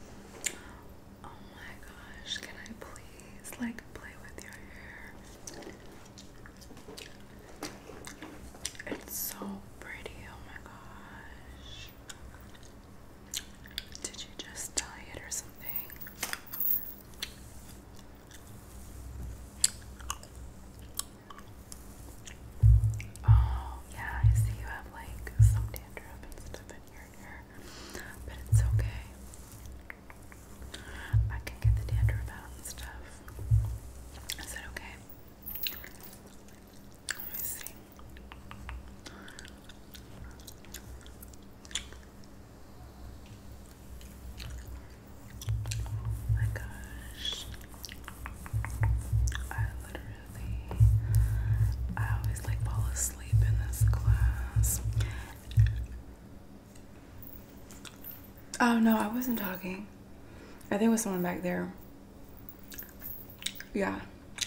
Oh my gosh, can I please like play with your hair? It's so pretty, oh my gosh. Did you just dye it or something? Oh, yeah, I see you have like some dandruff and stuff in your hair, but it's okay. I can get the dandruff out and stuff. Is that okay? Let me see. Oh my gosh. I literally I always like fall asleep in this class. Oh no, I wasn't talking. I think it was someone back there. Yeah,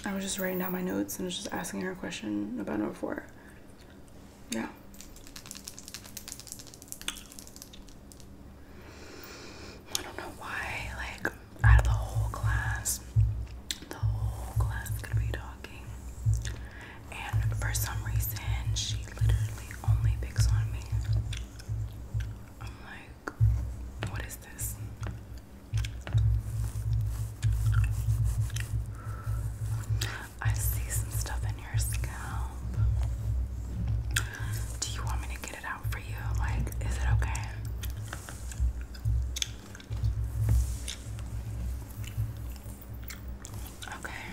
I was just writing down my notes and was just asking her a question about number four. Yeah. I don't know why, like out of the whole class, the whole class is be talking. And for some reason, she literally only picks on me. I'm like, what is this? I see some stuff in your scalp. Do you want me to get it out for you? Like, is it okay? Okay.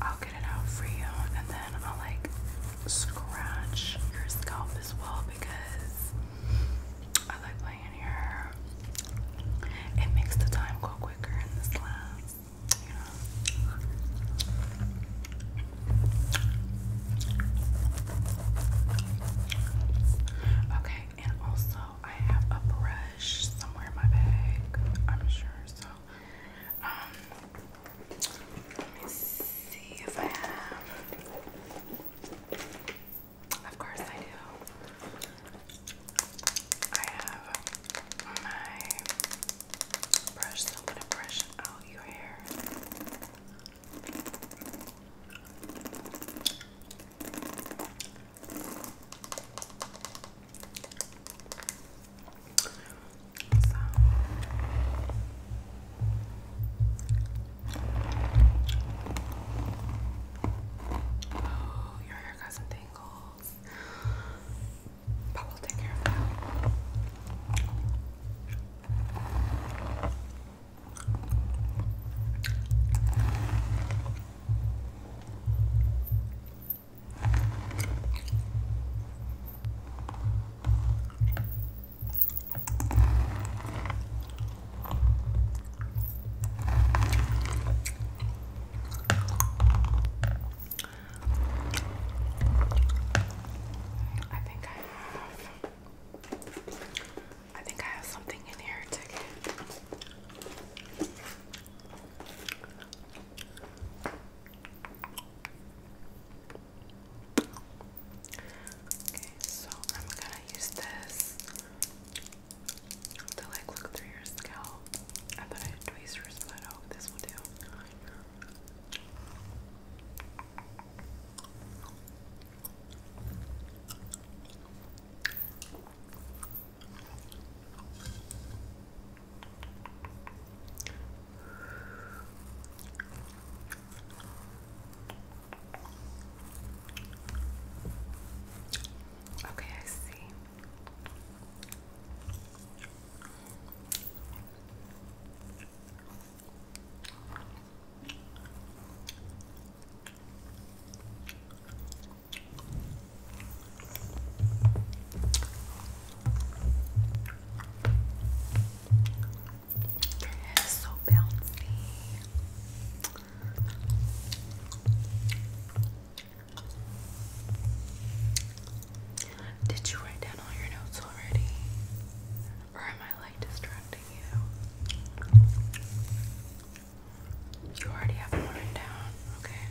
I'll get it out for you and then I'll like scratch your scalp as well because I like laying here. It makes the time go quicker in this lab, you know. Okay, and also I have a brush somewhere in my bag, I'm sure. So, um, let me see if I have. Of course, I do. I have my brush, I'm gonna brush out your hair. So. Oh, your hair got some tangles. But we'll take care of that. I think I have I think I have something in here Okay, so I'm gonna use this to like look through your scalp. I thought I'd tweezers, but oh, this will do. Okay, I see. It is so bouncy. Did you write down all your notes already? Or am I like distracting you? You already have one down, okay?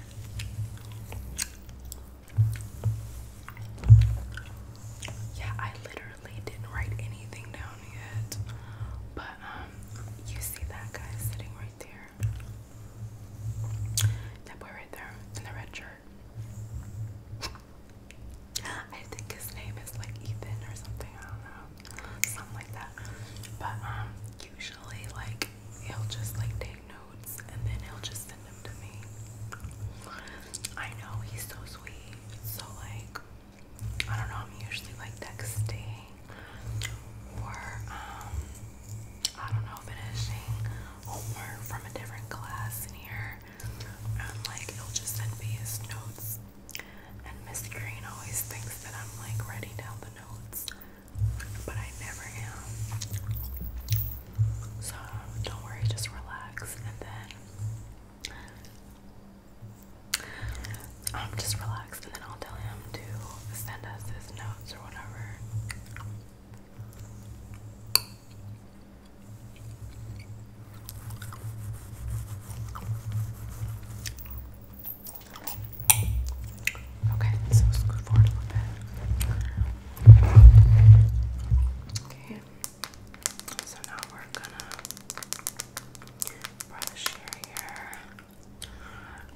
Yeah, I literally didn't write anything down yet. But, um, you see that guy sitting right there? That boy right there in the red shirt. I think his name is like Ethan or something. I don't know, something like that. But um, usually like he'll just like take notes and then he'll just send them to me. I know he's so sweet, so like I don't know. I'm usually like texting or um, I don't know, finishing homework from a different class in here. And like he'll just send me his notes and Mr. Green always thinks that I'm like writing down the notes, but I never am. So don't worry, just relax. And then I'm um, just relaxed, and then I'll tell him to send us his notes or whatever. Okay, so scoot forward a little bit. Okay, so now we're gonna brush your hair.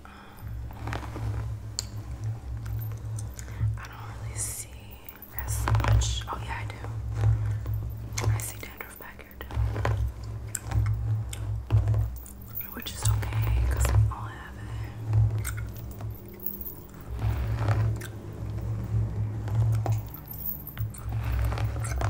Um, I don't really see as much. Oh yeah, I do. I see that drove back here too. Which is okay, because we all have it. I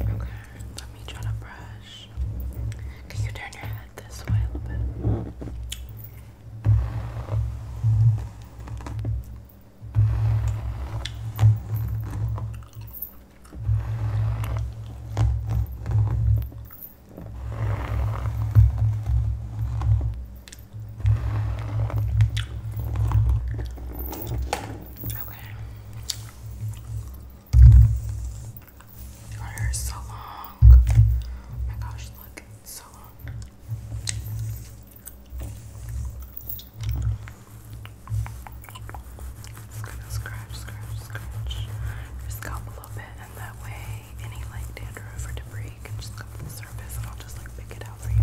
Okay, let me try to brush. Can you turn your head this way a little bit? Okay. Your hair is so long. Oh my gosh, look, it's so long. Just gonna scratch, scratch, scratch your scalp a little bit, and that way, any like dandruff or debris can just come to the surface, and I'll just like pick it out for you.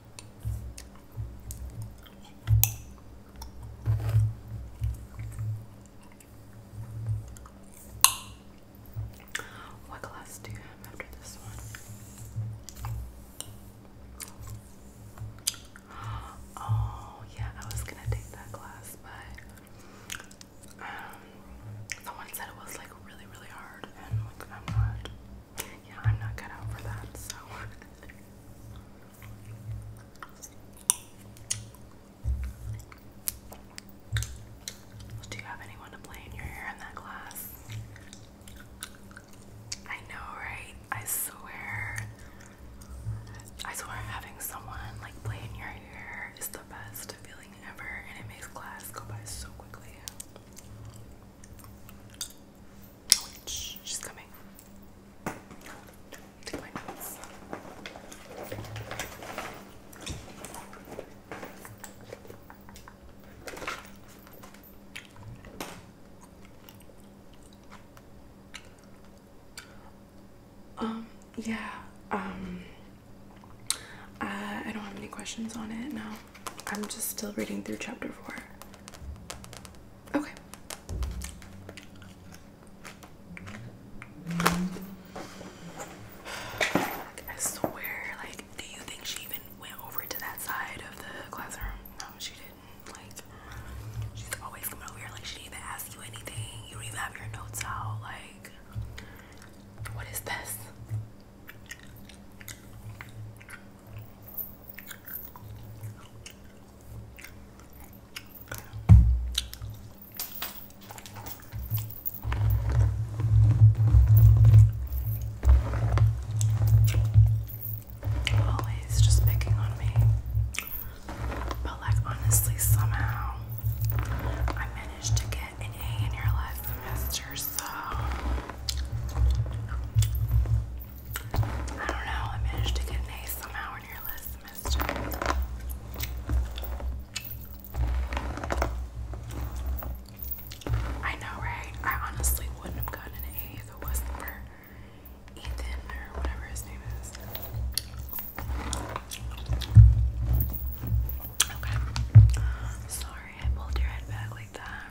What class do you have after this one? Oh, yeah, I was gonna take that glass, but um, someone said it was like really, really hard, and like I'm not yeah, I'm not cut out that, so. Do you have anyone to play in your hair in that class? I know, right? I swear. I swear having someone like play in your hair is the best feeling ever and it makes class go by so quickly she's coming. Um, yeah, um, I, uh, I don't have any questions on it now. I'm just still reading through chapter four. Okay. I swear, like, do you think she even went over to that side of the classroom? No, she didn't. Like, she's always coming over here. Like, she even ask you anything. You even have your notes out. Like, what is this? Always just picking on me. But, like, honestly, somehow I managed to get an A in your last semester, I don't know, I managed to get an A somehow in your list, semester. I know, right? I honestly wouldn't have gotten an A if it wasn't for Ethan or whatever his name is. Okay. Sorry I pulled your head back like that.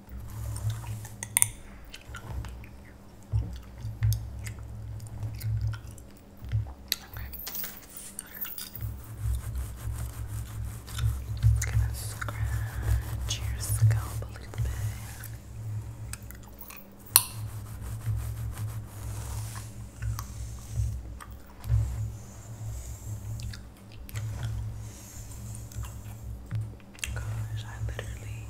I'm gonna scratch your scalp a little bit. Gosh, I literally,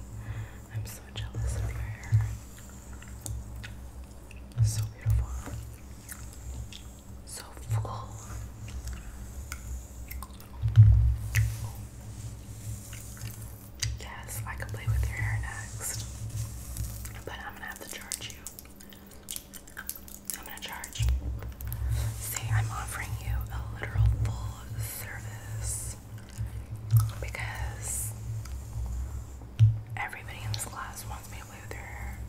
I'm so jealous of your hair. So beautiful. So full. Yes, I could play with your hair next. But I'm gonna have to charge you. I'm gonna charge. See, I'm offering you a literal full service because everybody in this class wants me to play their hair.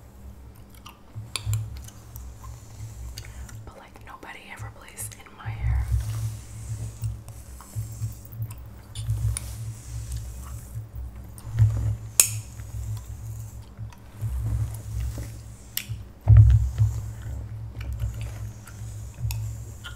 But like nobody ever plays in my hair.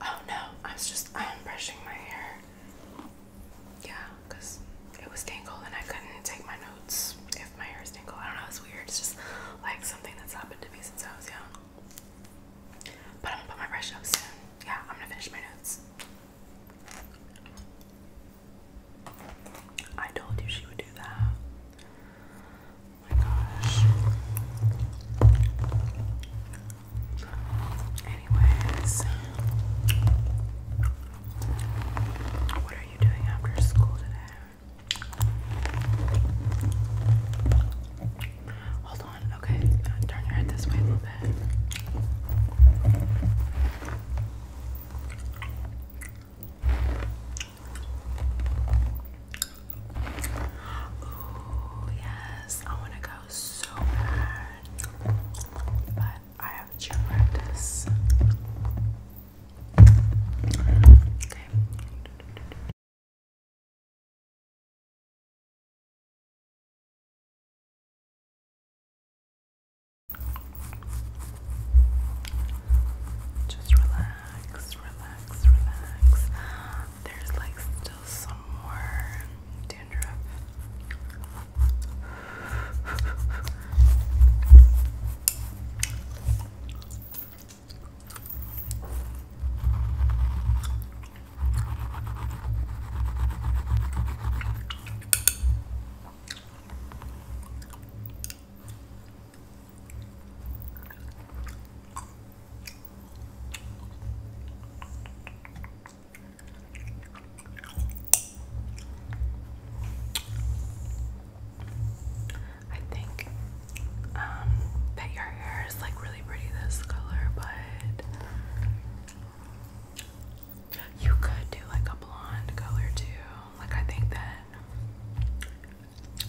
Oh no, I was just I'm brushing my hair. Yeah, because it was tangled and I couldn't take my notes if my hair is tangled. I don't know, it's weird. It's just like something that's happened to me since I was young. But I'm gonna put my brush up soon. Yeah, I'm gonna finish my notes. I told you she would do that. Oh my gosh. Anyways, what are you doing after school today? Hold on, okay, uh, turn your head this way a little bit. Ooh, yes, I want to go so bad, but I have gym practice. Just relax, relax, relax. There's like still some more dandruff. I think um, that your hair is like really pretty this color, but you could do like a blonde color too. Like, I think that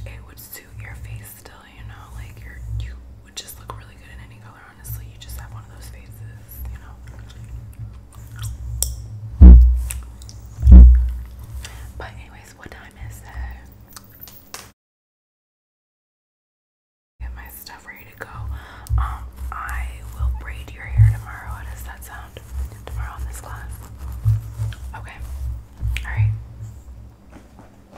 it would suit your face still, you know, like you you would just look really good in any color, honestly. You just have one of those faces, you know. But anyways, what time is it? Get my stuff ready to go. Um, I will braid your hair tomorrow. How does that sound? Tomorrow on this class. Okay. All right.